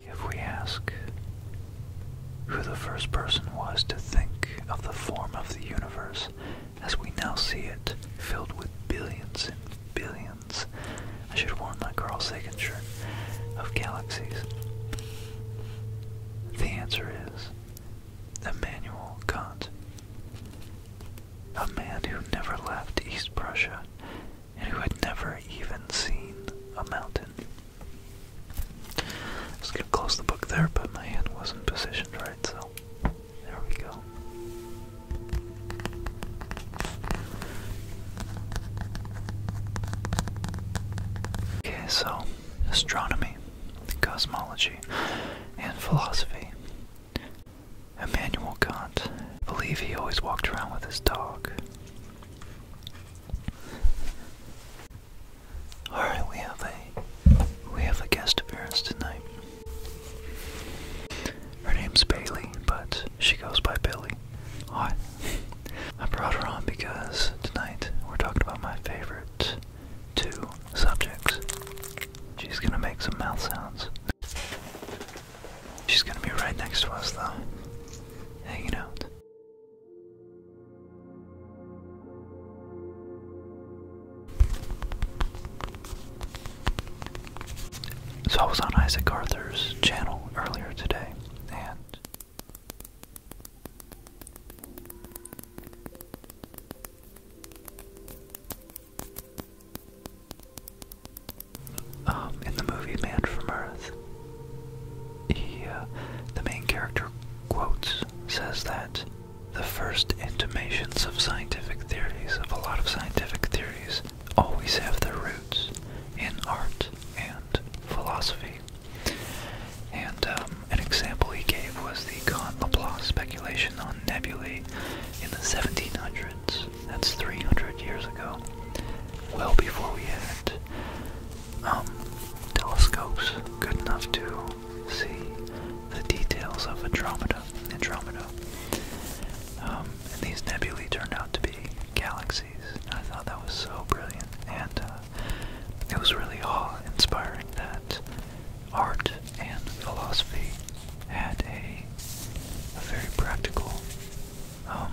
If we ask who the first person was to think of the form of the universe as we now see it, filled with billions and billions, I should warn my Carl Sagan shirt, of galaxies, the answer is Emmanuel Kant, a man who never left East Prussia and who had never even seen a mountain. was going to close the book there, but my hand wasn't positioned right, so there we go. Okay, so astronomy, cosmology, and philosophy. Emmanuel Kant. I believe he always walked around with his dog. Alright, we have a we have a guest appearance tonight. Her name's Bailey, but she goes by Billy. Alright. I brought her on because tonight we're talking about my favorite two subjects. She's gonna make some mouth sounds. She's gonna be right next to us though. Hanging out. So I was on Isaac Arthur's channel earlier today, and um, in the movie Man from Earth, he, uh, the main character quotes, says that the first intimations of scientific theories, of a lot of scientific theories, always have their roots in art and philosophy. And um, an example he gave was the Kant-Laplace speculation on nebulae in the 1700s. That's 300 years ago, well before we had um, telescopes good enough to see the details of Andromeda. Andromeda. Um, and these nebulae turned out to be galaxies. I thought that was so brilliant, and uh, it was really awe-inspiring that art and philosophy had a, very practical um,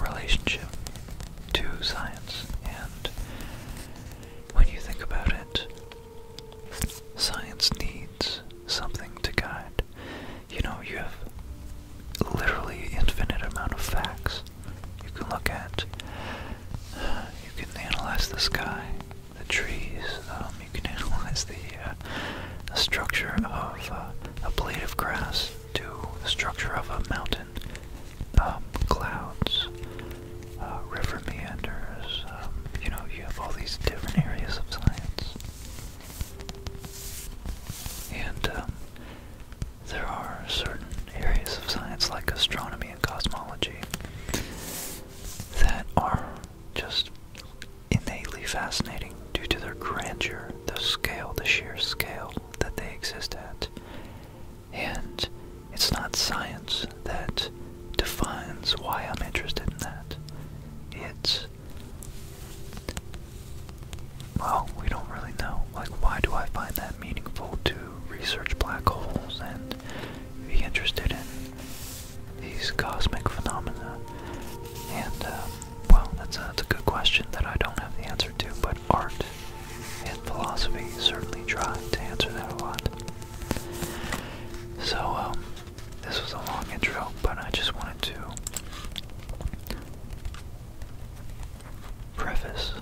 relationship to science. And when you think about it, science needs something to guide. You know, you have literally infinite amount of facts you can look at. You can analyze the sky, the trees. Um, you can analyze the, uh, structure of uh, a blade of grass to the structure of a mountain, um, clouds, uh, river meanders. Um, you know, you have all these different areas of science, and um, there are certain areas of science like astronomy and cosmology that are just innately fascinating due to their grandeur the scale, the sheer scale that they exist at. And it's not science that defines why I'm interested in that. It's. Well, we don't really know. Like, why do I find that meaningful to research black holes and be interested in these cosmic phenomena? And, uh, well, that's a, good question that I don't have the answer to, but art and philosophy certainly try to answer that a lot. So, um, this was a long intro, but I just wanted to preface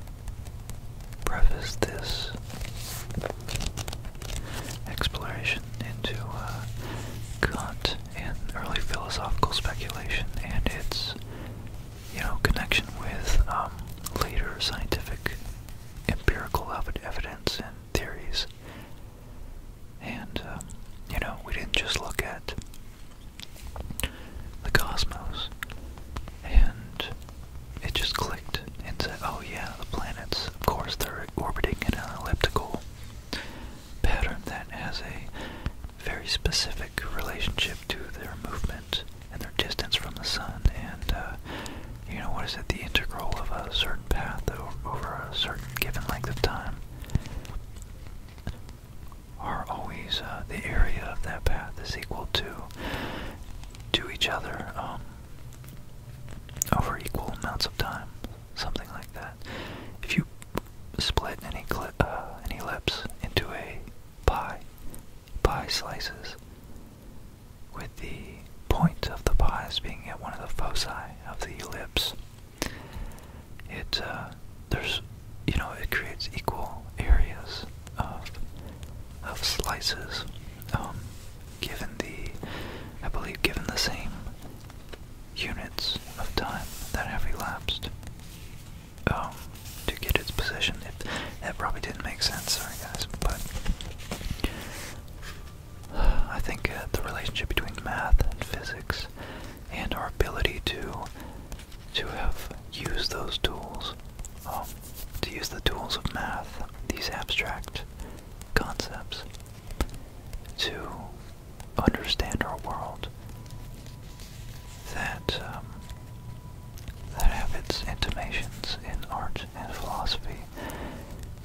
preface this exploration into uh, Kant and early philosophical speculation and its you know, connection with um, later scientific empirical evidence and theories. And, um, you know, we didn't just look at the cosmos and it just clicked and said, oh yeah, the planets, of course, they're orbiting in an elliptical pattern that has a very specific relationship to their movement and their distance from the sun, and uh, you know what is it? The integral of a certain path over a certain given length of time are always uh, the area of that path is equal to to each other um, over equal amounts of time, something like that. If you split any, ellipse uh, into a pie, pie slices, with the point of the pies being at one of the foci of the ellipse. It uh, there's you know it creates equal areas of of slices, um, given the I believe given the same units of time that have elapsed. Um, to get its position. It, probably didn't make sense, sorry guys, but I think uh, the relationship between math and physics and our ability to to have used those tools, um, to use the tools of math, these abstract concepts, to understand our world that um, that have its intimations in art and philosophy,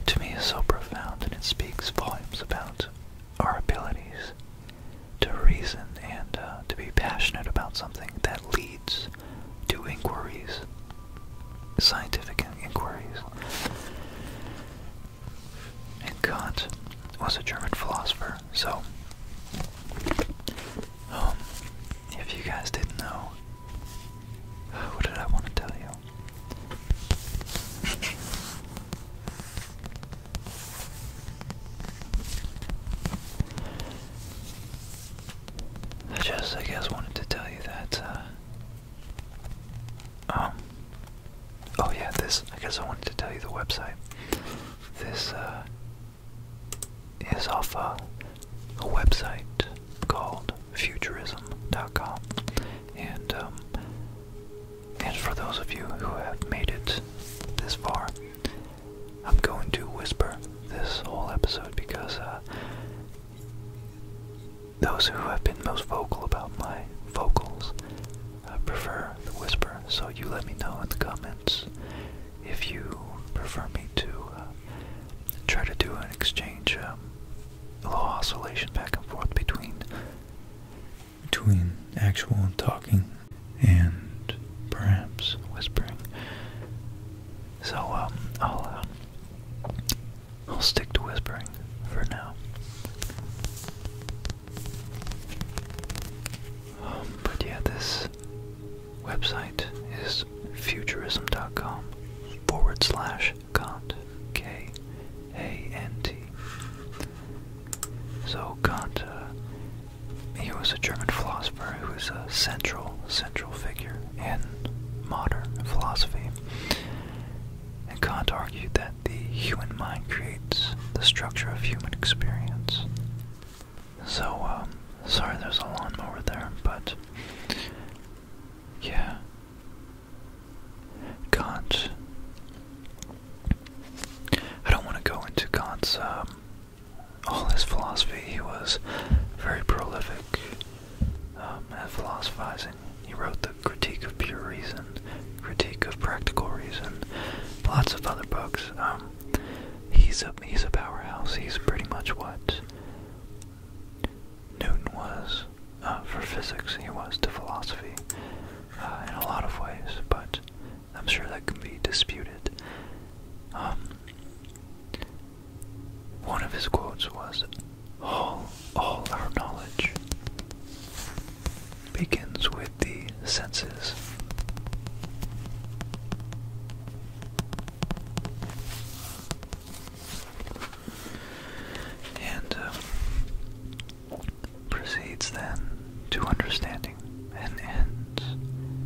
to me is so profound, and it speaks volumes about our abilities to reason and uh, to be passionate about something that leads to inquiries, scientific inquiries. And Kant was a German philosopher. So, um, if you guys didn't know, what did I want to tell you? I just, I guess, wanted to tell you that, uh, um, oh yeah, this, I guess I wanted to tell you the website. This uh, is off uh, a, website called futurism.com, and um, and for those of you who have made it this far, I'm going to whisper this whole episode because uh, those who have been most vocal about my vocals I prefer the whisper. So you let me know in the comments if you prefer me to uh, try to do an exchange, um, a little oscillation back and forth between between actual talking and perhaps whispering. So um, I'll uh, I'll stick to whispering for now. Um, but yeah, this website is futurism.com forward slash Kant, K A N T. So Kant, uh, he was a German philosopher who was a central, central figure in modern philosophy. And Kant argued that the human mind creates the structure of human experience. So, um, sorry there's a lawnmower there, but yeah. Kant. I don't want to go into Kant's, um, all his philosophy. He was very prolific um, at philosophizing. He wrote the Critique of Pure Reason, Critique of Practical Reason, lots of other books he's a he's a powerhouse. He's pretty much what Newton was uh, for physics. He was to philosophy uh, in a lot of ways, but I'm sure that can be disputed. Um, one of his quotes was, "All all our knowledge begins with the senses. And uh, proceeds then to understanding and ends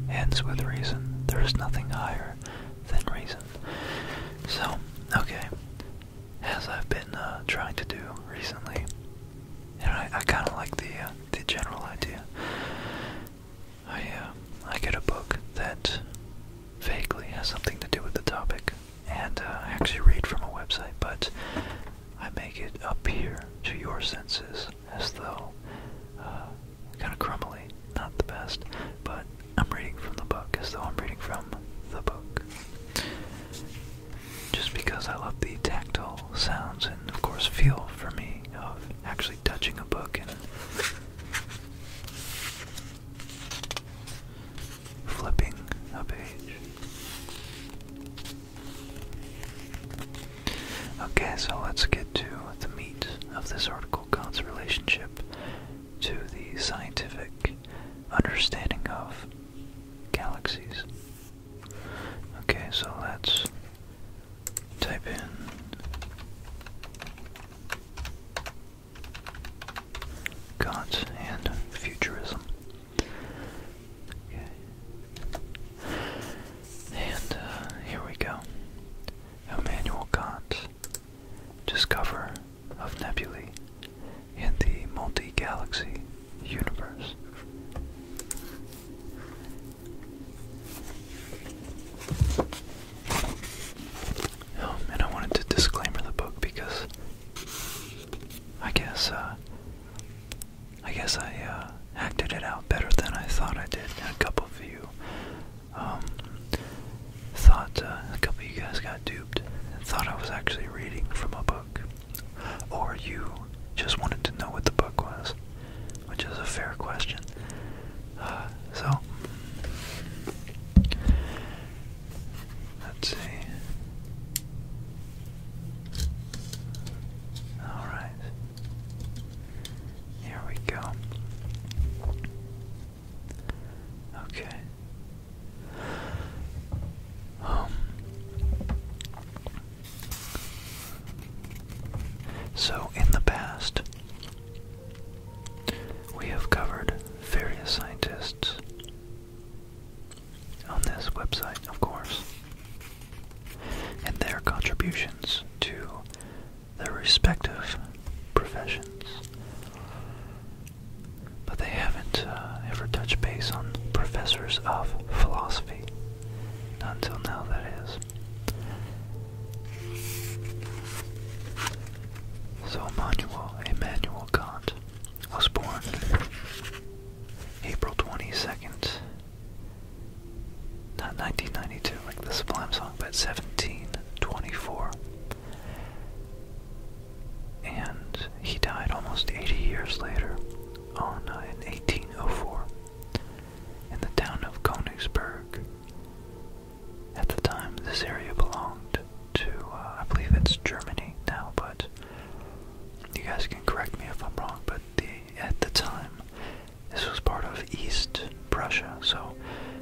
ends with reason. There is nothing higher than reason. So, okay, as I've been uh, trying to do recently, and I, kind of like the uh, the general idea. I uh, I get a book that vaguely has something to do with the topic, and uh, I actually read from a website, but I make it appear to your senses as though kind of crumbly, not the best, but I'm reading from the book as though I'm reading from the book. Just because I love the tactile sounds and, of course, feel for me of actually touching a book and flipping a page. Okay, so let's get to the meat of this article God's relationship to the scientific understanding of galaxies. Okay, so let's type in Kant and Futurism. Okay. And uh, here we go. Immanuel Kant, discoverer of nebulae in the multi galaxy universe. Um, and I wanted to disclaimer the book because I guess uh, I guess I uh, acted it out better than I thought I did. a couple of you um, thought uh, a couple of you guys got duped and thought I was actually reading from a book, or you just wanted to know what the book was, which is a fair question. Uh, so, let's see. Alright. Here we go. Okay. Um so, in the past, we have covered various scientists on this website, of course, and their contributions to their respective professions. But they haven't uh, ever touched base on professors of philosophy. Not until now, that is. So Immanuel, Immanuel Kant was born April 22nd, not 1992 like the Sublime song, but 1724. And he died almost 80 years later on uh, in 1804 in the town of Konigsberg. At the time, this area belonged to, uh, I believe it's Germany now, but you guys can correct me if I'm wrong, but the, at the time, this was part of East Prussia, so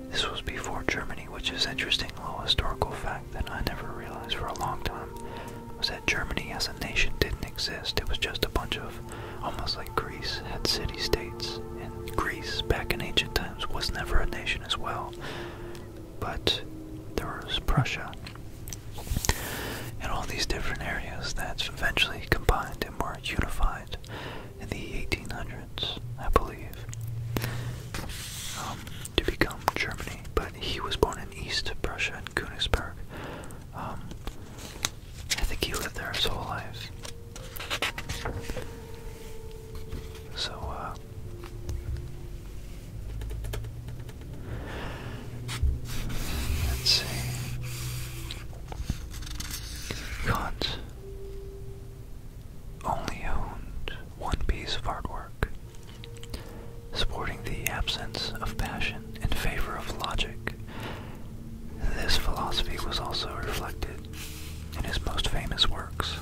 this was before Germany, which is interesting little historical fact that I never realized for a long time, was that Germany as a nation didn't exist. It was just a bunch of almost like Greece had city states, and Greece back in ancient times was never a nation as well. But there was Prussia and all these different areas that eventually combined and were unified in the 1800s, I believe, um, to become Germany. But he was born in East Prussia in Königsberg. Um, I think he lived there his whole life. So, uh, Let's see. Kant only owned one piece of artwork, supporting the absence of passion in favor of logic this philosophy was also reflected in his most famous works,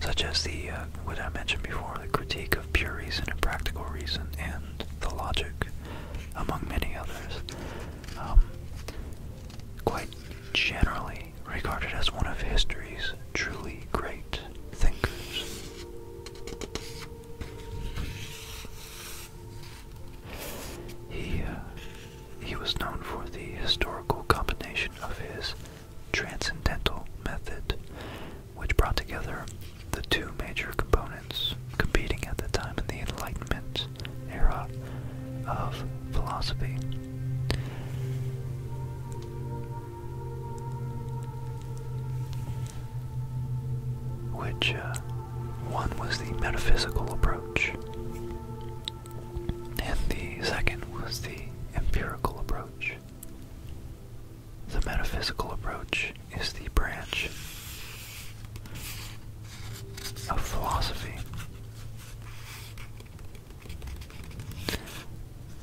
such as the uh, what I mentioned before, the Critique of Pure Reason and Practical Reason, and the Logic, among many others. Um, quite generally regarded as one of history's truly great thinkers. He, uh, he was known for the historical combination of his transcendental method, which brought together the two major components competing at the time in the Enlightenment era of philosophy which uh, one was the metaphysical approach, and the second was the empirical approach. The metaphysical approach is the branch of philosophy.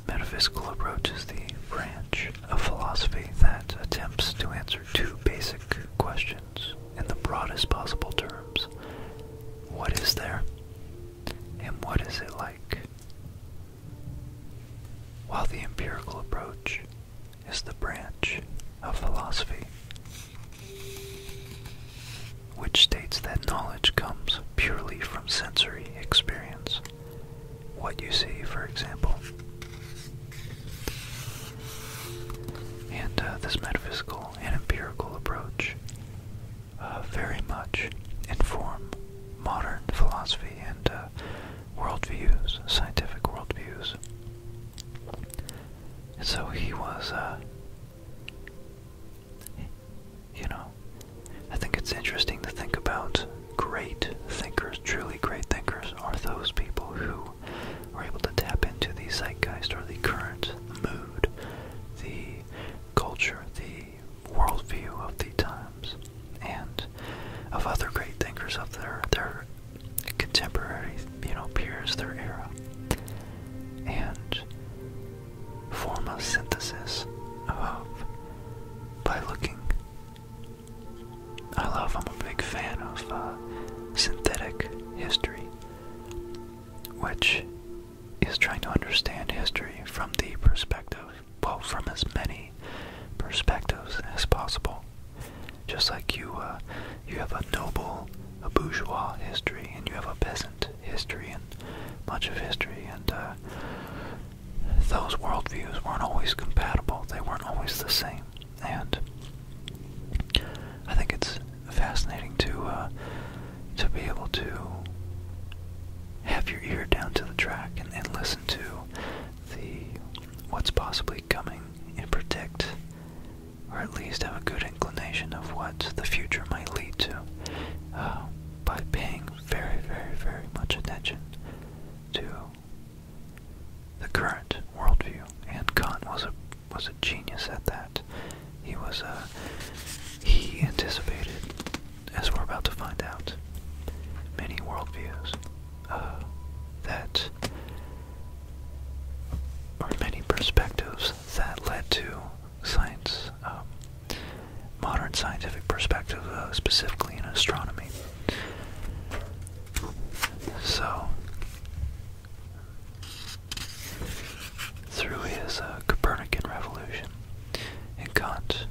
Metaphysical approach is the branch of philosophy that attempts to answer two basic questions in the broadest possible terms. What is there? And what is it like? While the empirical approach is the branch of philosophy which states that knowledge comes purely from sensory experience. What you see, for example, and uh, this metaphysical and empirical approach uh, very much inform modern philosophy and uh, worldviews, scientific worldviews. And so he was, uh, you know, I think it's interesting to think about great thinkers, truly great thinkers, are those people who are able to tap into the zeitgeist or the current mood, the culture, the worldview of the times, and of other great thinkers of their their contemporary, you know, peers, their era, and form a synthesis of by looking I love, I'm a big fan of uh, synthetic history, which is trying to understand history from the perspective, well, from as many perspectives as possible. Just like you, uh, you have a noble, a bourgeois history, and you have a peasant history, and much of history, and uh, those worldviews weren't always compatible. They weren't always the same and I think it's fascinating to uh, to be able to have your ear down to the track and, and listen to the what's possibly coming and predict, or at least have a good inclination of what the future might lead to, uh, by paying very, very, very much attention to the current worldview. And Kant was a was a genius at that. He was a uh, he anticipated, as we're about to find out, many worldviews uh, that or many perspectives that led to science, um, modern scientific perspective, uh, specifically in astronomy. So, through his uh, Copernican revolution, and Kant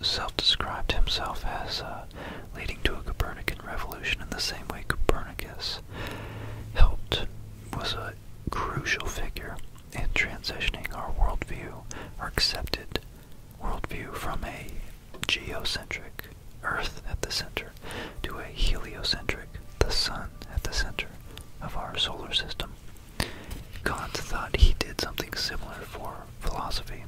self-described himself as uh, leading to a Copernican revolution in the same way Copernicus helped was a crucial figure in transitioning our worldview, our accepted worldview from a geocentric, Earth at the center, to a heliocentric, the Sun at the center of our solar system. Kant thought he did something similar for philosophy.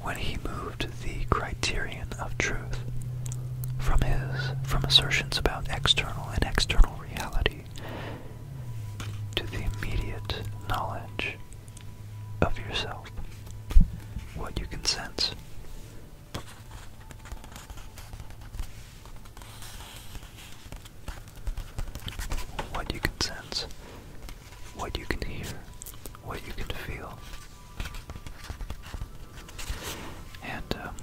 When he moved the criterion of truth from his from assertions about external and external reality to the immediate knowledge of yourself, what you can sense. What you can sense, what you can hear, what you can feel. And um,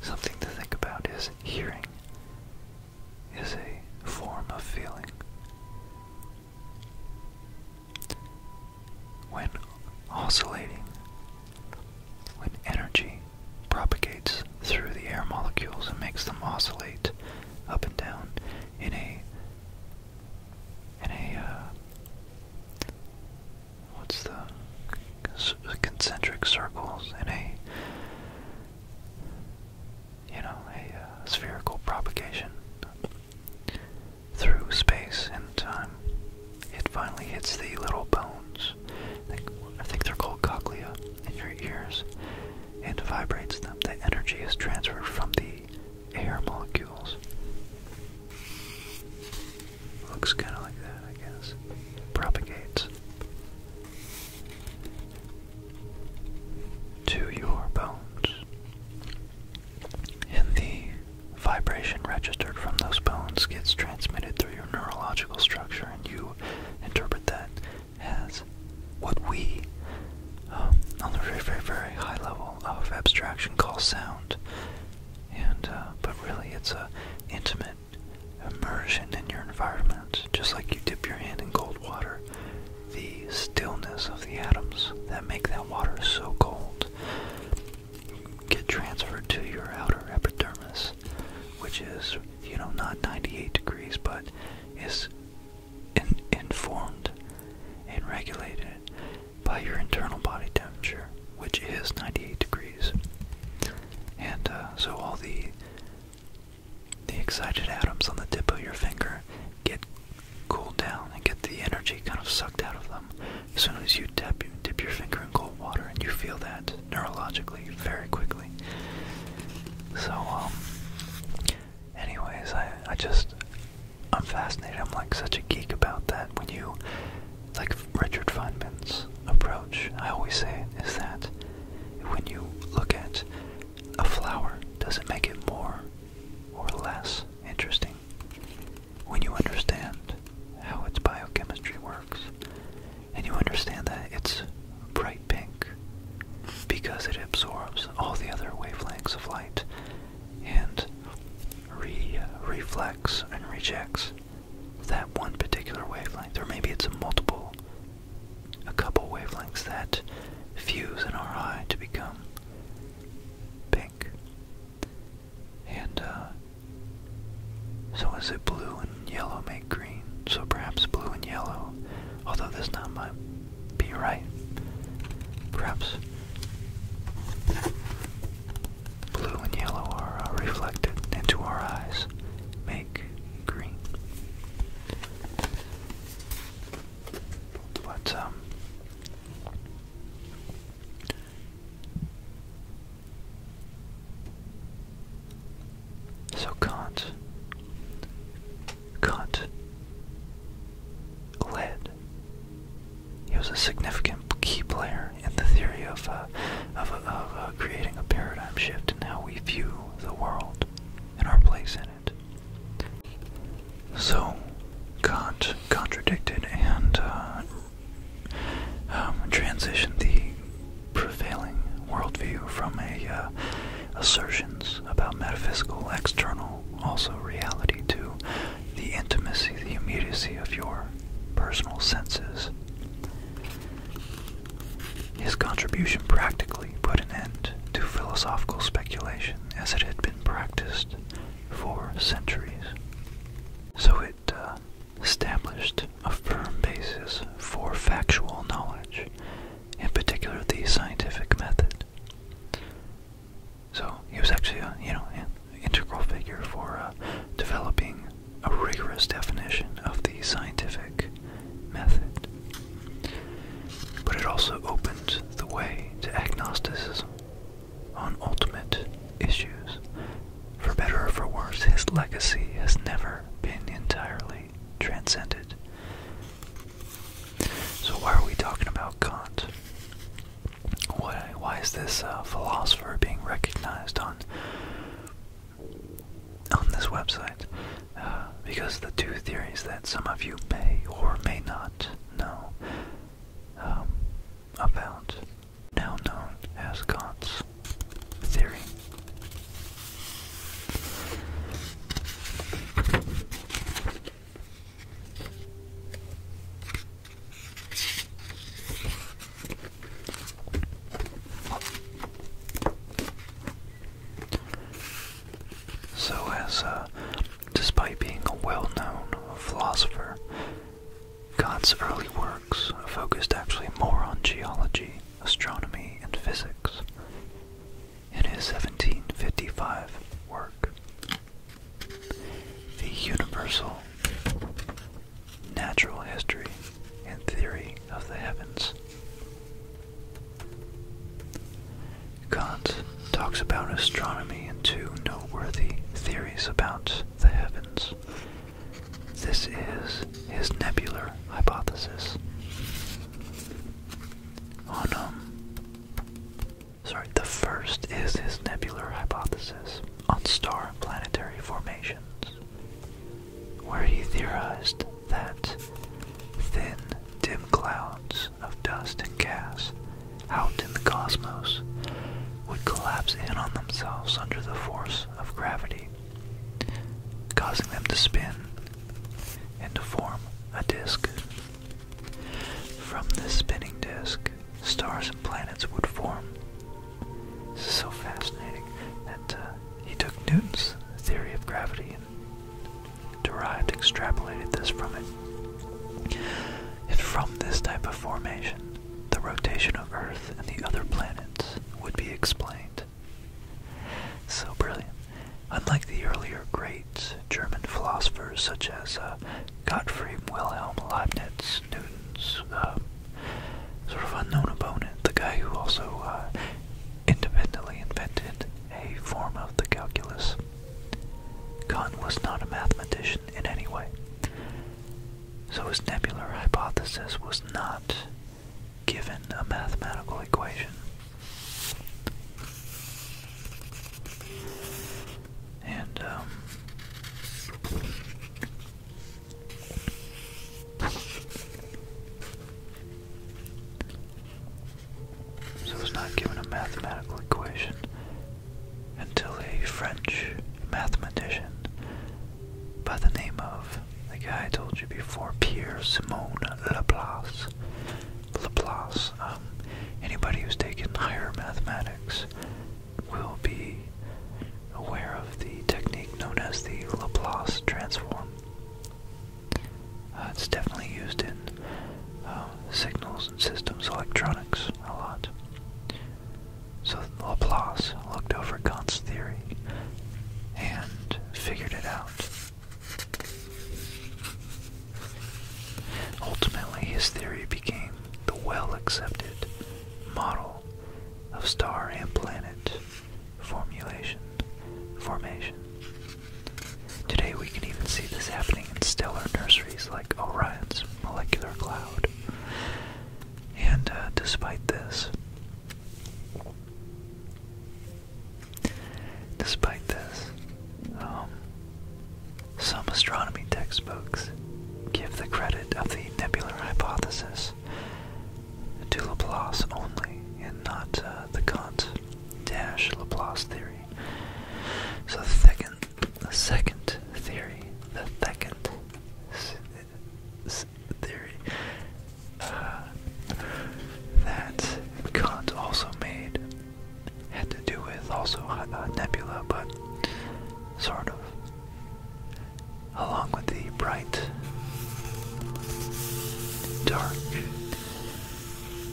something to think about is hearing is a form of feeling. When oscillating, when energy propagates through the air molecules and makes them oscillate up and down in a in a uh, what's the concentric circles in a you know a uh, spherical propagation through space and time. It finally hits the little bones, I think they're called cochlea, in your ears, and vibrates them. The energy is transferred from the air molecules. Looks kind of like that, I guess. Propagates to your bones. And the vibration registered from those bones gets transmitted through your neurological structure, and you interpret that as what we, um, on the very, very, very high level of abstraction, call sound. And uh, but really, it's a intimate immersion in your environment, just like you dip your hand in cold water the stillness of the atoms that make that water so cold get transferred to your outer epidermis, which is, you know, not 98 degrees, but is informed and regulated by your internal body temperature, which is 98 degrees. And uh, so all the the excited atoms on the tip of your finger get cool down and get the energy kind of sucked out of them. As soon as you tap, you dip your finger in cold water, and you feel that neurologically very quickly. So, um, anyways, I I just I'm fascinated. I'm like such a geek about that. When you like Richard Feynman's approach, I always say is that when you look at a flower, does it make it more or less interesting when you understand how its biochemistry works and you understand that it's bright pink because it absorbs all the other wavelengths of light and reflects and rejects that one particular wavelength or maybe it's a multiple a couple wavelengths that fuse in our eye to become pink. And uh, so is it blue and yellow make green? So perhaps blue and yellow, although this not be right. Perhaps blue and yellow are uh, reflected into our eyes, make green. But um, so Kant Kant led. He was a significant key player in the theory of uh, of, of uh, creating a paradigm shift in how we view the world and our place in it. So, Kant contradicted and uh, um, transitioned the prevailing worldview from a uh, assertions about metaphysical external, also reality, to the intimacy, the immediacy of your personal senses. His contribution practically put an end to philosophical speculation as it had been practiced for centuries. So it uh, established a firm basis for factual knowledge, in particular the scientific method. So he was actually a, you know, an integral figure for uh, developing a rigorous definition of the scientific method. But it also opened the way to agnosticism on ultimate issues. For better or for worse, his legacy has never been entirely transcended. So, why are we talking about Kant? Why, is this uh, philosopher being recognized on on this website? Uh, because the two theories that some of you may or may not not um, about, now known as Kant's theory. So, as uh, Despite being a well known philosopher, Gott's early works focused actually more on geology, astronomy, and physics. In his 1755 work, The Universal Natural History and Theory of the Heavens, Kant talks about astronomy and two noteworthy theories about the heavens. This is his nebular hypothesis. Um, sorry, the first is his nebular hypothesis on star and planetary formations, where he theorized that thin, dim clouds of dust and gas out in the cosmos would collapse in on themselves under the force of gravity, causing them to spin and to form a disk. From this spinning disk, stars and planets would form. This is so fascinating that uh, he took Newton's theory of gravity and derived extrapolated this from it. And from this type of formation, the rotation of Earth and the other planets would be explained. So brilliant. Unlike the earlier great German philosophers such as uh, Gottfried Wilhelm Leibniz, Newton's um, sort of unknown opponent, the guy who also uh, independently invented a form of the calculus, Kant was not a mathematician in any way, so his nebular hypothesis was not given a mathematical equation. And, um, so I was not given a mathematical equation until a French mathematician by the name of the guy I told you before, Pierre Simon Laplace. Laplace. Um, anybody who's taken higher mathematics will be aware of the technique known as the Laplace transform. Uh, it's definitely used in uh, signals and systems electronics a lot. So Laplace looked over Kant's theory and figured it out. Ultimately, his theory became the well accepted model of star and planet formulation formation. Today we can even see this happening in stellar nurseries like Orion's molecular cloud. And uh, despite this, despite this, um, some astronomy textbooks give the credit of the nebular hypothesis to Laplace only, and not uh, the Kant Dash Laplace theory. So the second, the second theory, the second theory uh, that Kant also made had to do with also uh, nebula, but sort of along with the bright, dark,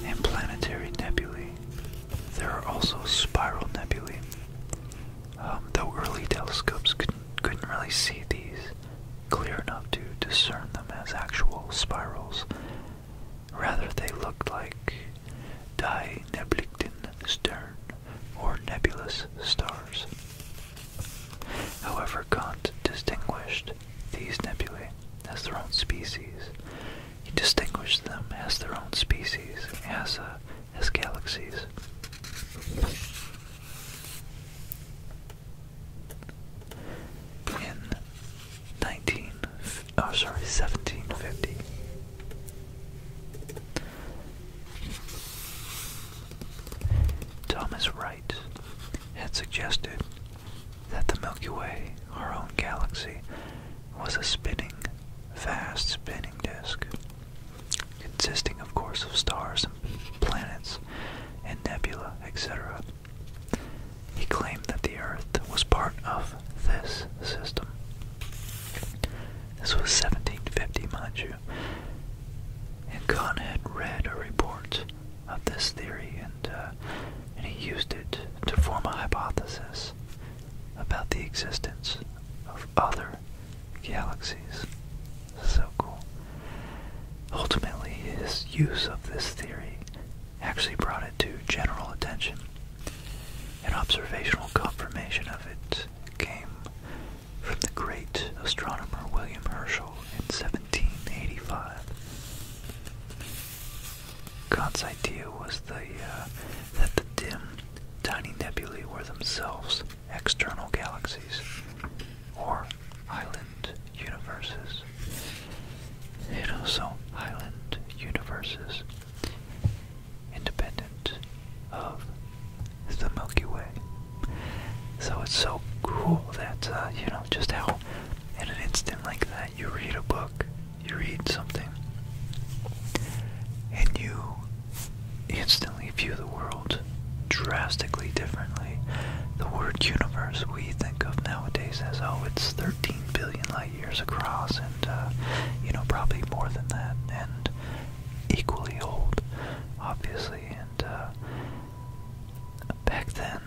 and planetary nebulae. There are also spiral nebulae. Um, though early telescopes couldn't, really see these clear enough to discern them as actual spirals. Rather, they looked like Die Neblichten Stern or nebulous stars. However, Kant distinguished these nebulae as their own species he distinguished them as their own species, as, uh, as galaxies. In 19, sorry, 1750, Thomas Wright had suggested that the Milky Way, our own galaxy, was a spinning, fast spinning disk, consisting, of course, of stars and planets and nebula, etc. He claimed that the Earth was part of this system. This was 1750, mind you. And Kahn had read a report of this theory, and uh, he used it to form a hypothesis about the existence of other galaxies. So cool. Ultimately, his use of this theory actually brought it to general attention. An observational confirmation of it came from the great astronomer William Herschel in 1785. God's idea was the, uh, that the dim, tiny nebulae were themselves external galaxies or island universes. You know, so island universes independent of the Milky Way. So it's so cool that, uh, you know, just how in an instant like that you read a book, you read something, and you instantly view the world drastically differently. The word universe we think of nowadays as, oh, it's 13 billion light years across, and, uh, you know, probably more than that, and equally old, obviously, and, uh, back then,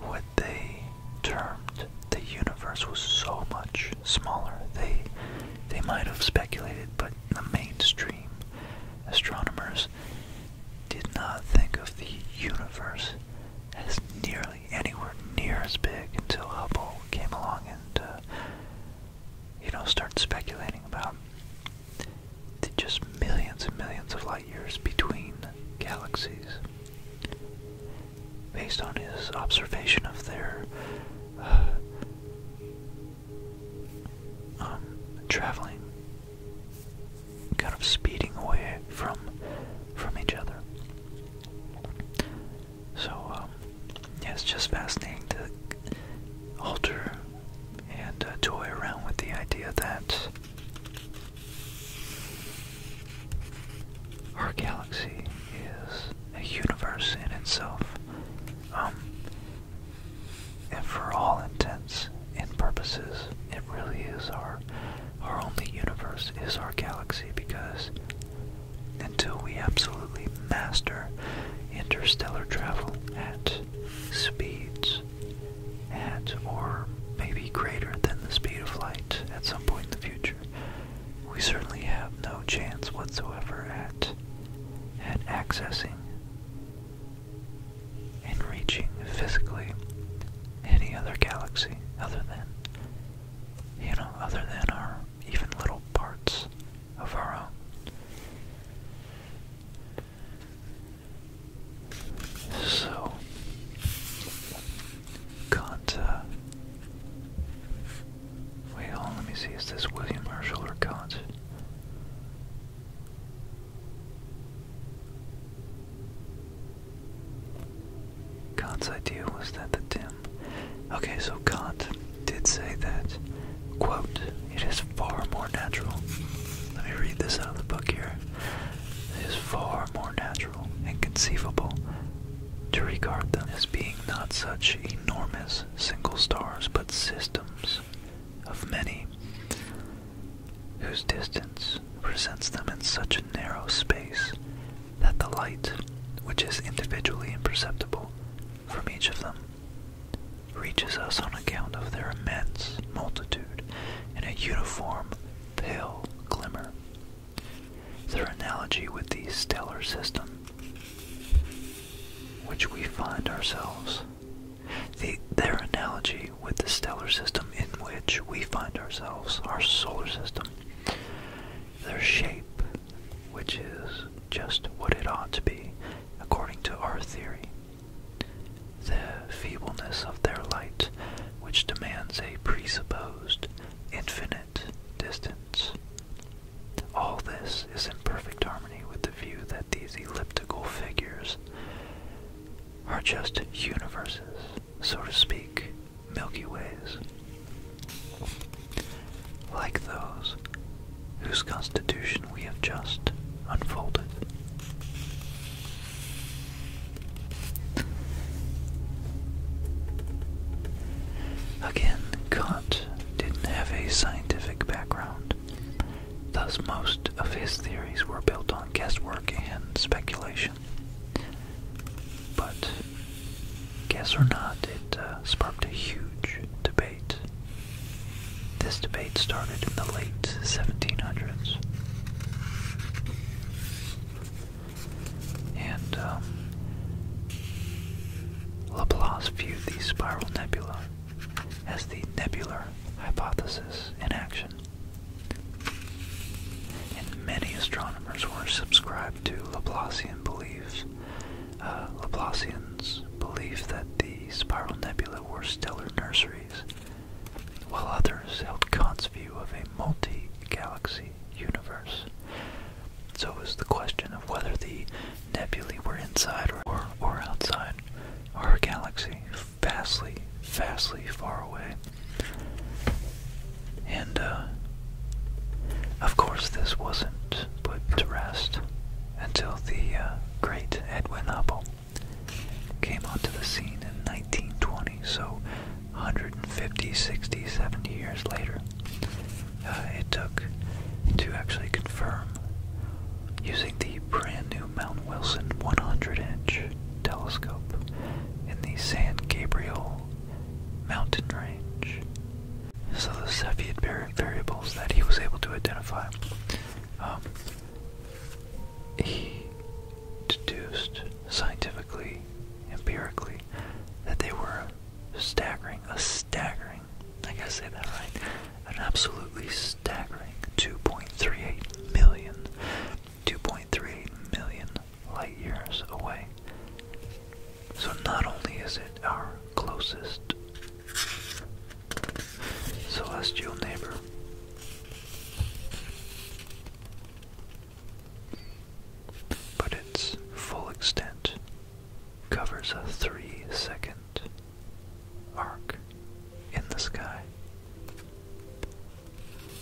what they termed the universe was so much smaller. They they might have speculated, but the mainstream astronomers did not think of the universe as nearly anywhere near as big until Hubble came along and uh, you know started speculating about just millions and millions of light years between galaxies. Based on his observation of their uh, um, traveling, kind of speeding away from from each other. So um, it's just fascinating to alter and uh, toy around with the idea that our galaxy is a universe in itself. Um, and for all intents and purposes, it really is our our only universe is our galaxy because until we absolutely master interstellar travel at speeds at or maybe greater than the speed of light at some point in the future. We certainly have no chance whatsoever at at accessing and reaching physically any other galaxy other than you know, other than our even little parts of our own. So, Kanta. Wait, hold let me see. Is this William Marshall or Kant? Kant's idea was that the dim. Okay, so Kant did say that, quote, it is far more natural. Let me read this out of the book here. It is far more natural natural and conceivable to regard them as being not such enormous single stars but systems of many whose distance presents them in such a narrow space that the light, which is individually imperceptible from each of them, reaches us on account of their immense multitude in a uniform pale glimmer their analogy with the stellar system, which we find ourselves. The, their analogy with the stellar system in which we find ourselves, our solar system, their shape, which is just what it ought to be according to our theory. The feebleness of their light, which demands a presupposed infinite distance. All this is in perfect harmony with the view that these elliptical figures are just universes, so to speak, Milky Ways. Like those whose constitution we have just unfolded. Again, Kant didn't have a scientific background, thus, most of his theories were built on guesswork and speculation. But, guess or not, it uh, sparked a huge debate. This debate started in the late 1700s and um, Laplace viewed the spiral nebula as the nebular hypothesis in action. And many astronomers were subscribed to Laplacian uh, belief. Laplacians believed that the spiral nebulae were stellar nurseries while others held Kant's view of a multi-galaxy universe. So it was the question of whether the nebulae were inside or, outside our galaxy, vastly, vastly far away. And, uh, of course, this wasn't put to rest until the uh, great Edwin Hubble came onto the scene in 1920. So 150, 60, 70 years later. Uh, it took to actually confirm using the brand new Mount Wilson 100 inch telescope in the San Gabriel mountain range. So the Cepheid variables that he was able to identify um, he deduced scientifically, empirically, that they were staggering, a staggering, I gotta say that right, an absolutely staggering 2.38 million, 2.38 million light years away. So not only is it our closest celestial neighbor, but its full extent covers a three second arc in the sky,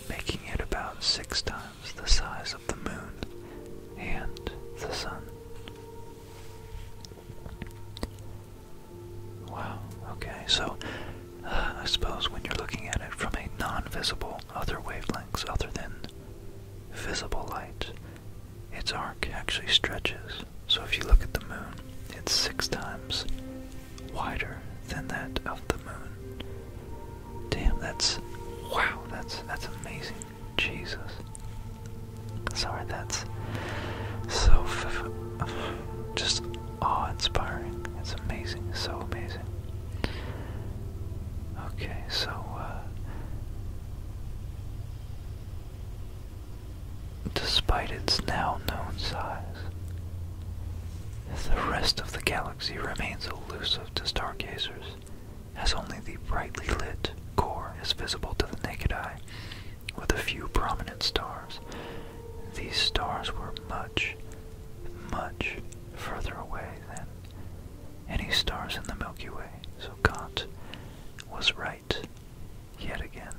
making it about six times the size of the moon and the sun. Wow, okay, so I suppose when you're looking at it from a non visible other wavelengths other than visible light, its arc actually stretches. So if you look at the moon, it's six times wider than that of the moon. Damn, that's wow, that's that's amazing. Jesus. Sorry, that's so just awe-inspiring. It's amazing, so amazing. Okay, so uh, despite its now known size, the rest of the galaxy remains elusive to stargazers, as only the brightly lit core is visible to the naked eye, with a few prominent stars. These stars were much, much further away than any stars in the Milky Way. So Kant was right yet again.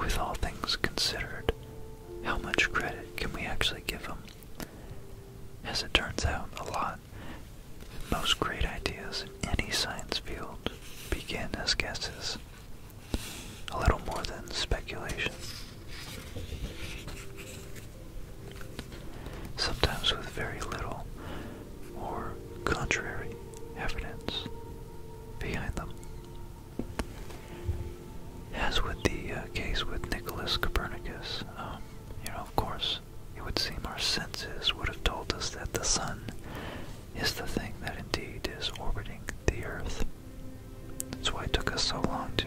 With all things considered, how much credit can we actually give him? As it turns out, a lot. Most great ideas in any science field begin as guesses, a little more than speculation. Sometimes with very little or contrary evidence behind them. As with the uh, case with Nicholas Copernicus, um, you know, of course, it would seem our senses would have told us that the sun is the thing that indeed is orbiting the earth. That's why it took us so long to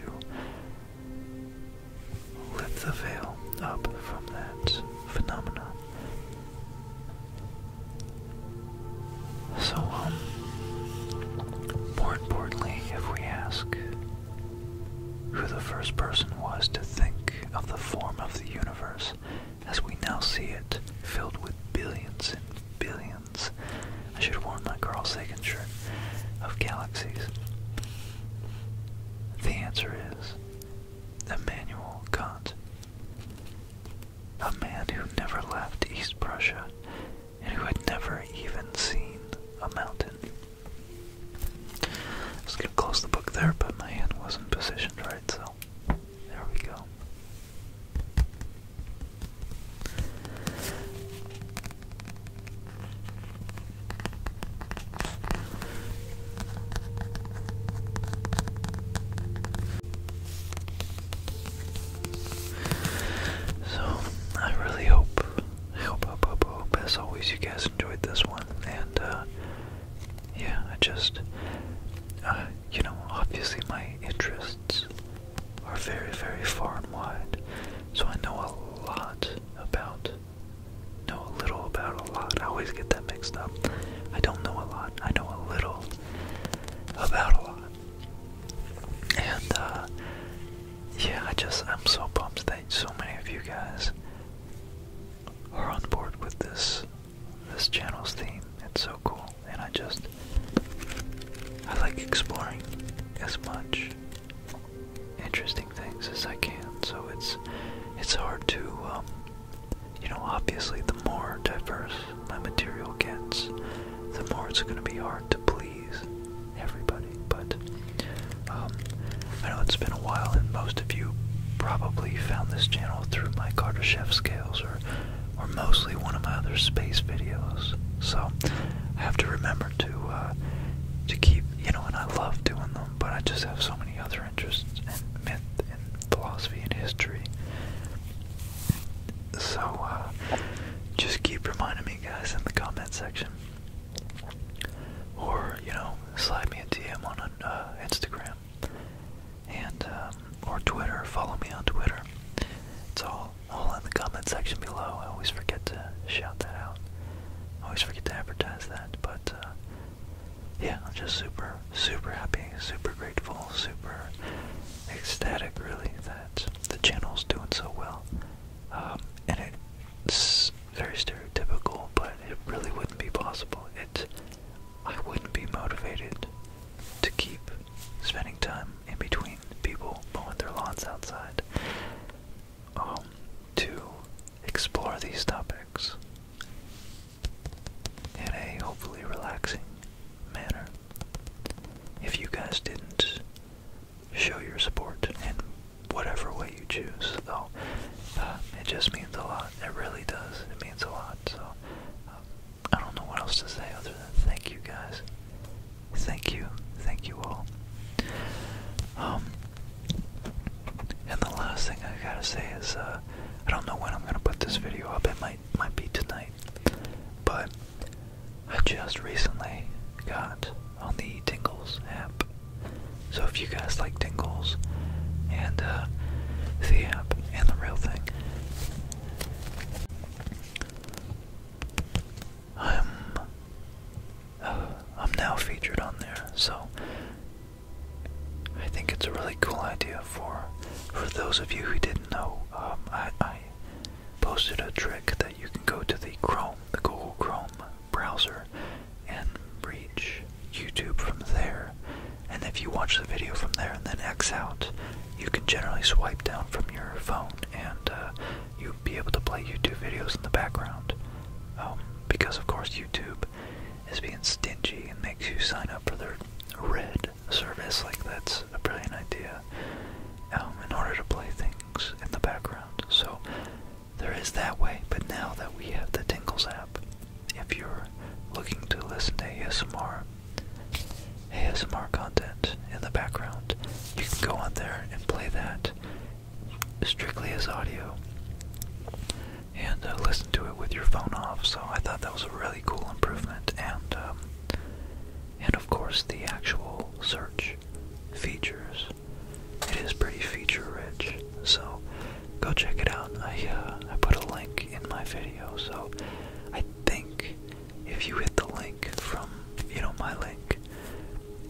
lift the veil up from that phenomena. So, um, more importantly, if we ask, who the first person was to think of the form of the universe as we now see it, filled with billions and billions. I should have worn my Carl Sagan shirt of galaxies. The answer is Immanuel Kant, a man who never left East Prussia and who had never even seen a mountain. I was gonna close the book there, but my hand wasn't positioned right, so there we go. So I really hope, I hope, hope, hope, as always, you guys enjoyed this one, and uh, yeah, I just, uh, you know, obviously my interests are very, very far and wide, so I know a lot about, know a little about a lot. I always get that mixed up. I don't know a lot. I know a little about a lot. And, uh, yeah, I just, I'm so pumped that so many of you guys are on board with this this channel's theme. It's so cool, and I just I like exploring as much interesting things as I can. So it's it's hard to um, you know obviously the more diverse my material gets, the more it's going to be hard to please everybody. But um, I know it's been a while, and most of you probably found this channel through my Carter Chef scales or, or mostly one of my other space videos. So I have to remember to uh, to keep, you know, and I love doing them, but I just have so many other interests in myth and philosophy and history. So uh, just keep reminding me, guys, in the comment section, or you know, slide me a DM on uh, Instagram and um, or Twitter. Follow me on Twitter. It's all all in the comment section below. I always forget to shout that out. always forget to advertise that, but uh, yeah, I'm just super, super happy, super grateful, super ecstatic, really, that the channel's doing so well. Um, and it very stereotypical, but it really wouldn't be possible. It, I wouldn't be motivated to keep spending time in between people mowing their lawns outside um, to explore these topics in a hopefully relaxing manner. If you guys didn't show your support and whatever way you choose, though, uh, it just means a lot. It really does. It means a lot. So, um, I don't know what else to say other than thank you guys. Thank you. Thank you all. Um, and the last thing I gotta say is, uh, I don't know when I'm gonna put this video up. It might might be tonight, but I just recently got on the Tingles app so if you guys like tingles and uh, the app and the real thing, I'm uh, I'm now featured on there. So I think it's a really cool idea for for those of you who didn't know. Um, I posted a trick that you can go to the Chrome, the Google Chrome browser and reach YouTube from there. And if you watch the video from there and then X out, you can generally swipe down from your phone and uh, you would be able to play YouTube videos in the background. Um, because, of course, YouTube is being stingy and makes you sign up for their red service. Like, that's a brilliant idea um, in order to play things in the background. So, there is that way, but now that we have the Tingles app, if you're looking to listen to ASMR, ASMR content in the background, you can go on there and play that strictly as audio and uh, listen to it with your phone off. So I thought that was a really cool improvement, and um, and of course the actual search features it is pretty feature-rich, so go check it out. I uh, I put a link in my video, so I think if you hit the link from you know my link,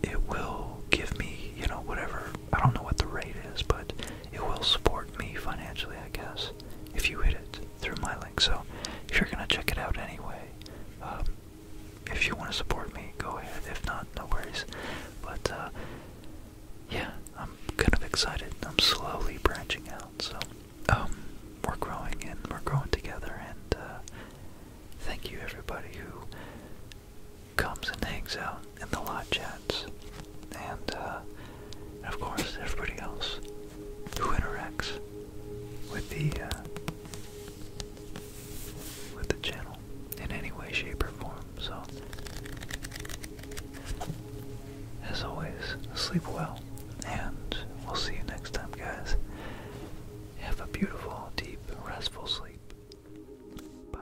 it will give me you know whatever I don't know what the rate is, but it will support me financially, I guess, if you hit it through my link. So if you're gonna check it out anyway. Um, if you want to support me, go ahead. If not, no worries. But uh, yeah, I'm kind of excited. I'm slowly branching out, so um, we're growing and we're growing together. And uh, thank you everybody who comes and hangs out in the live chats, and uh, of course everybody else who interacts with the uh, with the channel in any way, shape, or form. So, as always, sleep well, and we'll see you next time, guys. Have a beautiful, deep, restful sleep. Bye.